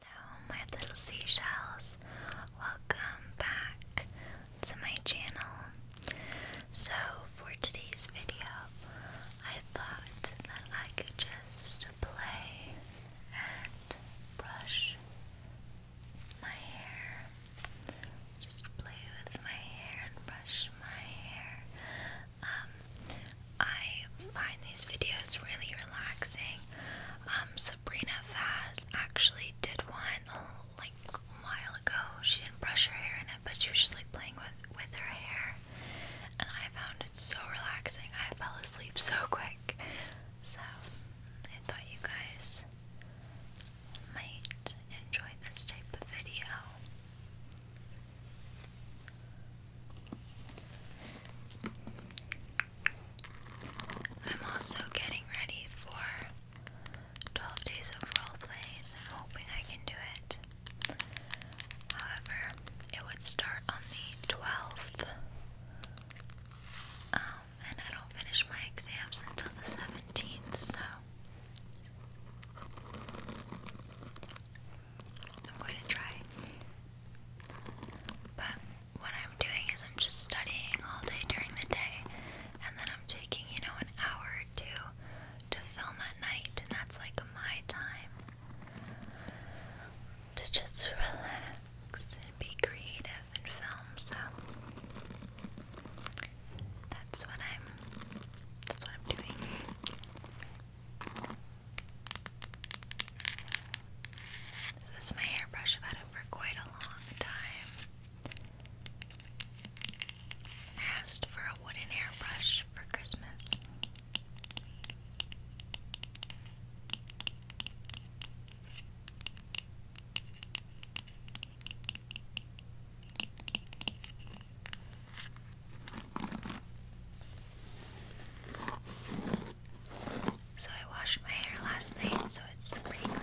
Hello, my little seashells. Welcome back to my channel. So, for today's video, I thought that I could just play and brush my hair. Just play with my hair and brush my hair. Um, I find these videos really relaxing um, Sabrina Vaz actually did one oh, like a while ago. She didn't brush her hair in it, but she was just like playing with with her hair, and I found it so relaxing. I fell asleep so quick. So I thought you guys might enjoy this type of video. I'm also getting ready for 12 days of role plays. I'm hoping I can do it. However, it would start on the 12th. Um, and I don't finish my exams until the 17th, so I'm going to try. But what I'm doing is I'm just studying all day during the day, and then I'm taking, you know, an hour or two to film at night, and that's like my time to just relax and be creative and film. So that's what I'm that's what I'm doing. This is my hairbrush. I've had it for quite a long time. asked for a wooden hairbrush for Christmas. So I washed my hair last night, so it's pretty clean.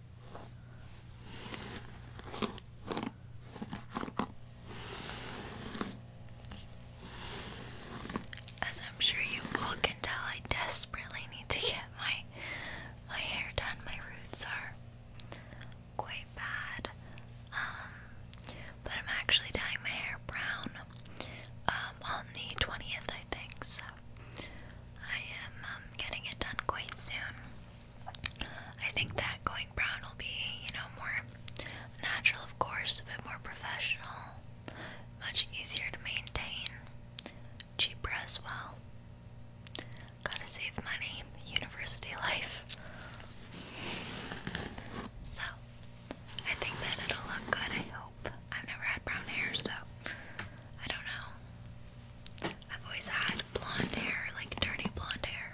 As I'm sure you all can tell, I desperately need to get my my hair done. My roots are quite bad, um, but I'm actually dyeing my hair brown um, on the twentieth, I think. So I am um, getting it done quite soon. I think that going brown will be, you know, more natural, of course, a bit more professional, much easier to maintain, cheaper as well. Gotta save money, university life. So, I think that it'll look good, I hope. I've never had brown hair, so I don't know. I've always had had blonde hair, like dirty blonde hair.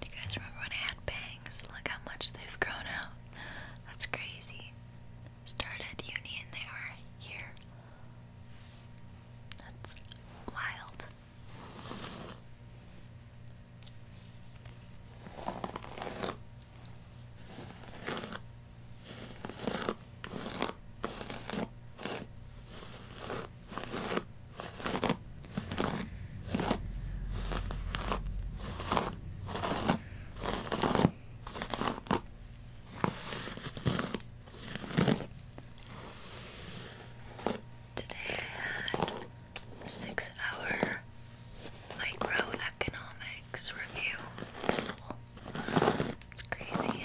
Do you guys remember when I had bangs? Look how much they've grown out. That's crazy. Started uni they are here. That's wild. Today I had six hour microeconomics review. It's crazy.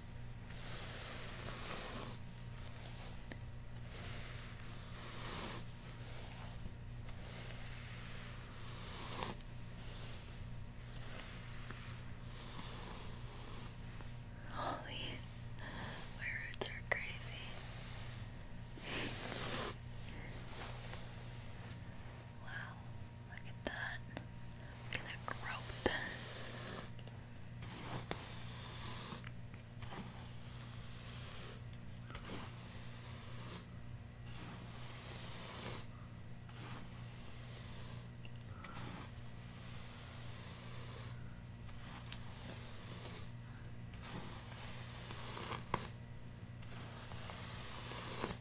Holy, my roots are crazy. Wow, look at that. Look at that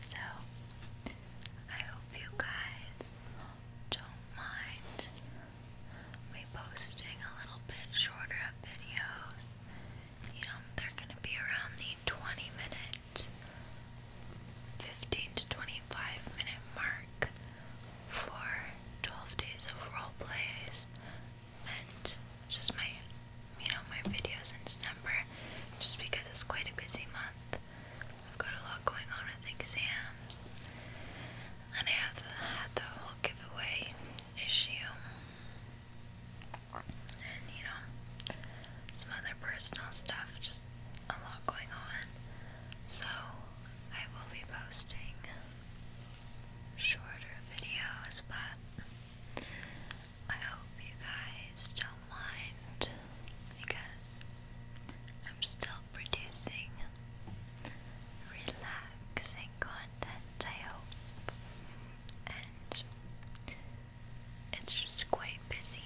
So, I hope you guys don't mind me posting a little bit shorter videos. You know, they're going to be around the 20 minute, 15 to 25 minute mark for 12 days of role just my, you know, my videos in December, just because it's quite a busy month. I've got a lot going on with exams, and I have had the whole giveaway issue, and you know, some other personal stuff. Just a lot going on, so I will be posting shorter videos, but I hope you guys don't mind because I'm still producing relaxing content, I hope. And it's just quite busy,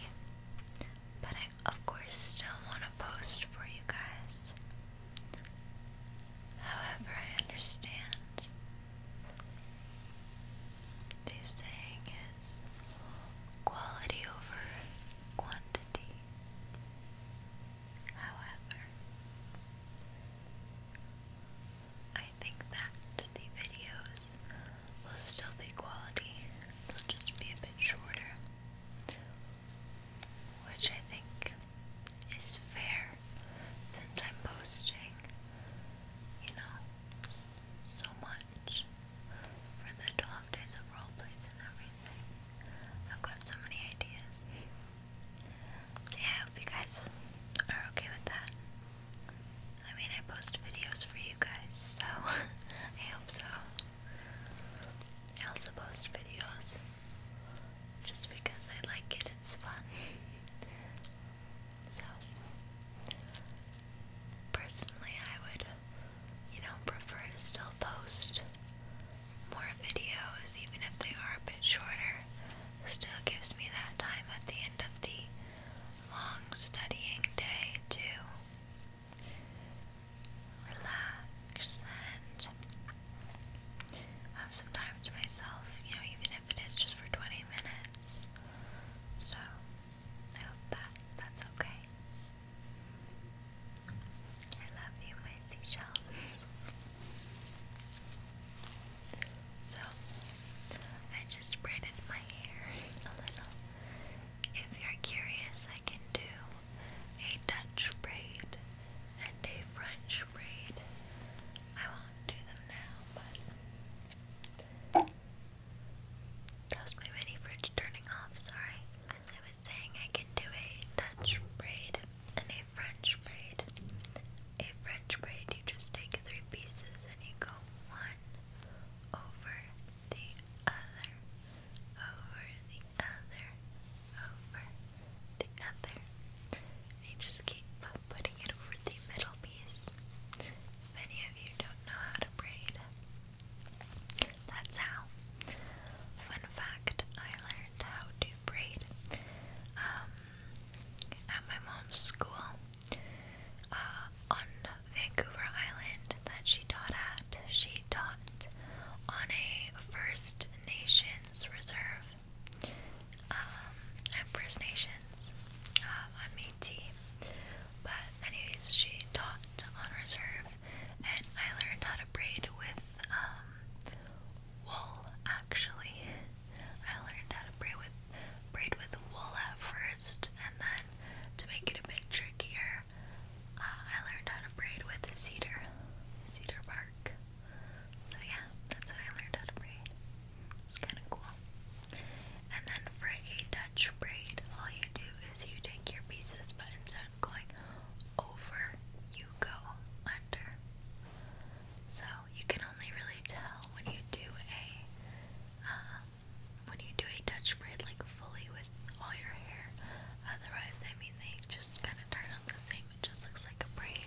but I, of course, still want to post for you guys. However, I understand this saying is quality over quantity. However, I think that the videos will still be quality, they'll just be a bit shorter, which I think is fair since I'm posting you know, so much for the 12 days of role and everything. I've got so many ideas. So I hope you guys are okay with that. I mean, I post videos for you guys, so I hope so. I also post videos just because I like it, it's fun. So, personally, I would, you know, prefer to still post more videos, even if they are a bit shorter. Still gives me that time at the end of the long studying day to relax and have some time to myself, you know, even if if it is just for 20 minutes. So, I hope that that's okay. I love you, my seashells. so, I just braided my hair a little. If you're curious, I can do a Dutch braid and a French braid. I will do that was my mini fridge turning off, sorry. As I was saying, I can do a Dutch braid and a French braid. A French braid, you just take three pieces and you go one over the other, over the other, over the other, I just keep putting it over the middle piece. Many of you don't know how to braid. That's how. Fun fact, I learned how to braid um, at my mom's school uh, on Vancouver Island that she taught at. She taught on a First Nations reserve I'm um, First Nations. I'm uh, Métis. But anyways, she taught on reserve, and I learned how to braid with um, wool. Actually, I learned how to braid with braid with wool at first, and then to make it a bit trickier, uh, I learned how to braid with cedar, cedar bark. So yeah, that's how I learned how to braid. It's kind of cool. And then for a Dutch braid, all you do is you take your pieces, but instead of going over, you go under. So you can only really tell when you do a um, when you do a Dutch braid like fully with all your hair. Otherwise, I mean they just kind of turn out the same. It just looks like a braid.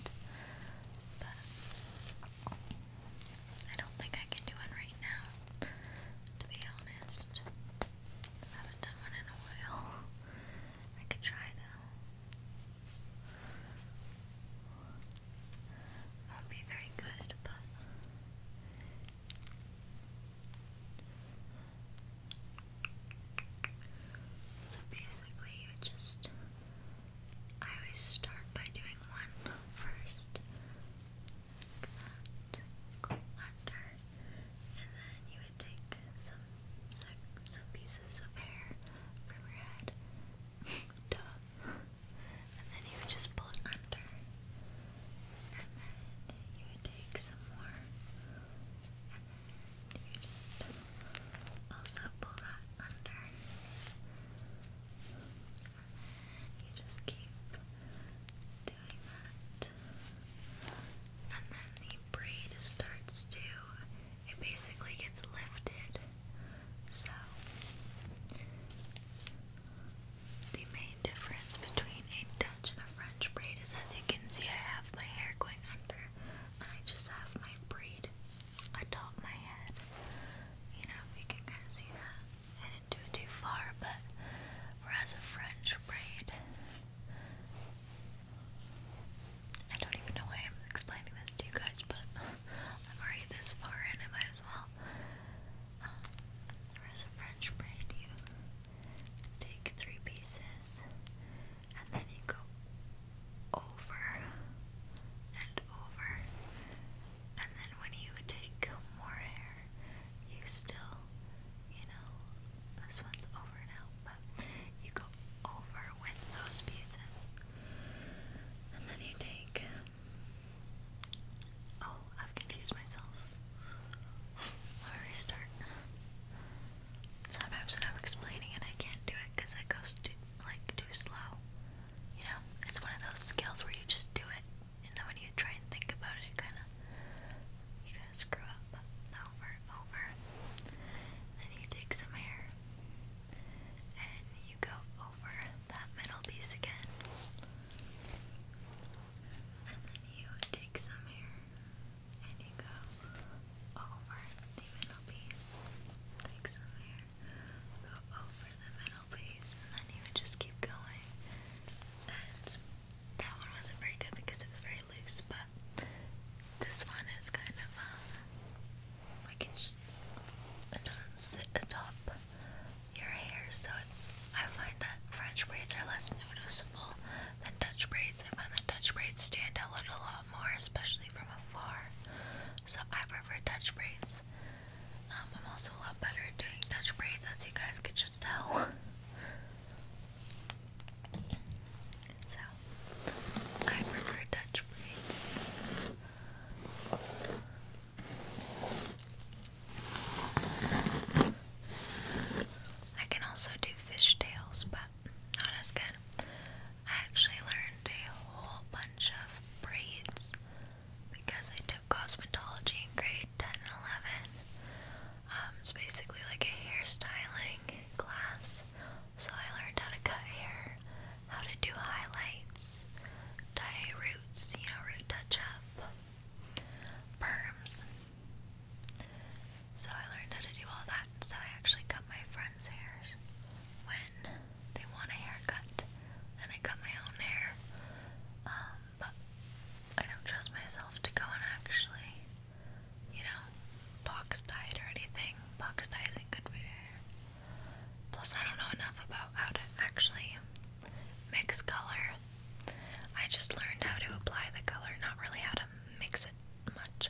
I don't think I can do one right now, to be honest. haven't done one in a while. I could try though. Won't be very good, but. So basically, you just I always start by doing one first. That go under, and then you would take some some pieces of hair from your head, and then you would just pull it under, and then you would take some more, and then you just. Also pull that under. And you just keep doing that. And then the braid starts to it basically gets lifted. So the main difference between a Dutch and a French braid is as you can see I have my hair going under and I just have my braid atop my head. You know, you can kind of see that. I didn't do it too far, but whereas a French braid. I don't even know why I'm explaining this to you guys, but I'm already this far and I might as well. Um, whereas a French braid, you take three pieces and then you go over and over, and then when you take more hair, you still, you know, this one's over now, but you go over with those pieces, and then you take. Oh, I've confused myself. Let me restart. Sometimes when I'm explaining it, I can't do it because it goes too, like, too slow you know, it's one of those skills where you just do it, and then when you try and think about it, it kind of you kind of screw up over and over. Then you take some hair and you go over that middle piece again, and then you take some hair and you go over the middle piece, take some hair go over the middle piece, and then he would just keep going. And that one wasn't very good because it was very loose, but this one is kind of uh, like it's just it doesn't sit atop your hair, so it's I find that French braids are less noticeable than Dutch braids. I find that Dutch braids stand out a little lot more, especially from afar. So I prefer touch braids. Um, I'm also a lot better at doing touch braids, as you guys could just tell. so I prefer touch braids. I can also do fishtails, but not as good. I actually learned a whole bunch of braids because I took cosmetology in grade 10 and 11. Um, it's basically like a hairstyling class. So I learned how to cut hair, how to do highlights, dye roots, you know, root touch up, perms. So I learned how to do all that. So I actually cut my friend's hair when they want a haircut, and I cut my own hair. Um, but I don't trust myself to go and actually, you know, box dye it or anything. Box dye isn't good for hair. Plus, I don't know enough about how to actually mix color. I just learned how to apply the color, not really how to mix it much.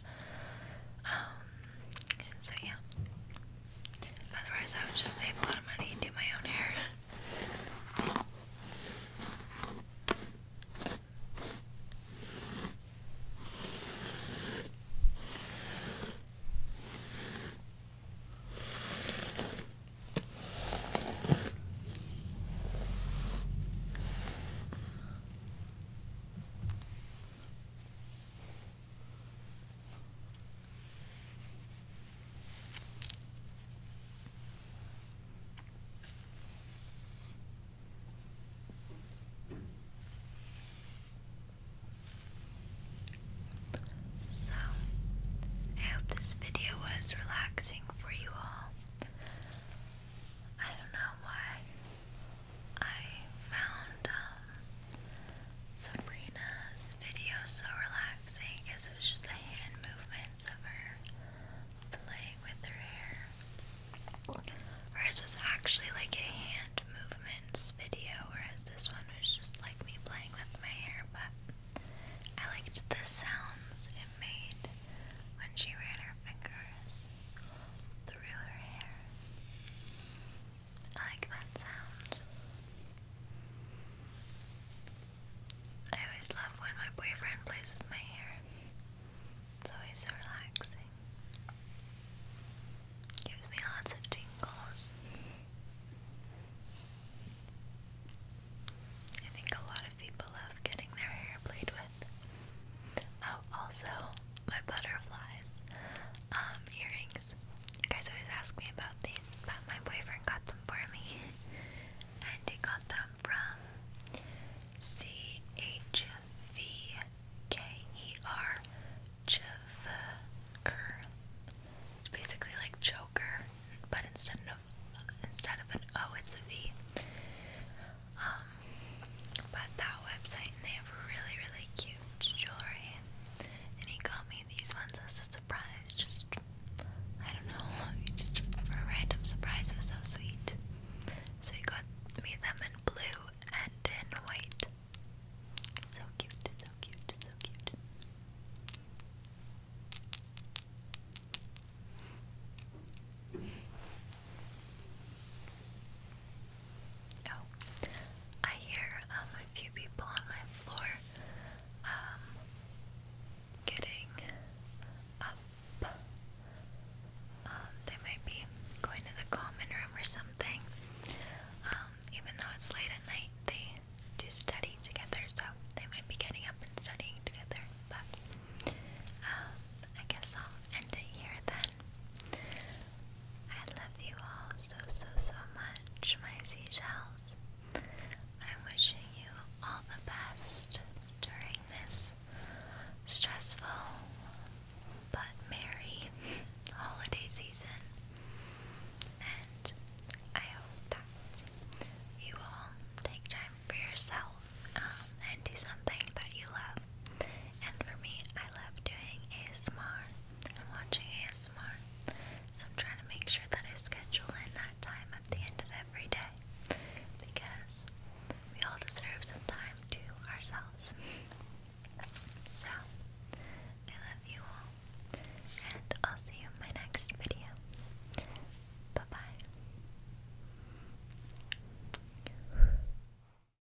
Um, so yeah. Otherwise, I would just save a lot of money and do my own hair. So, I hope this video was relaxing for you all. I don't know why I found uh, Sabrina's video so relaxing because it was just the hand movements of her playing with her hair. Whereas was actually like a hand movements video, whereas this one was just like me playing with my hair, but I liked the sounds it made when she ran her fingers through her hair. I like that sound. I always love when my boyfriend plays with my hair. It's always so relaxing. Gives me lots of tingles. I think a lot of people love getting their hair played with. Oh, also, my butterflies. Um, earrings. You guys always ask me about these, but my boyfriend got them for me. And he got them from C-H-V-K-E-R It's basically like Joker, but instead of instead of an O, it's a V. Um, but that website, and they have really, really cute jewelry. And he got me these ones as a surprise. Just, I don't know, just for a random surprise. It was so sweet. So he got me them in blue and in white. So cute, so cute, so cute. Oh, I hear um, a few people on my floor um, getting up. Uh, they might be going to the common room or something. Um, even though it's late at night, they do study together, so they might be getting up and studying together. But I guess I'll end it here then. I love you all so, so, so much, my seashells. I'm wishing you all the best during this stressful but merry holiday season. And I hope that you all take time for yourself um, and do something that you love. And for me, I love doing ASMR and watching ASMR. So I'm trying to make sure that I schedule in that time at the end of every day because we all deserve some time to ourselves. So, I love you all, and I'll see you in my next video. Bye bye.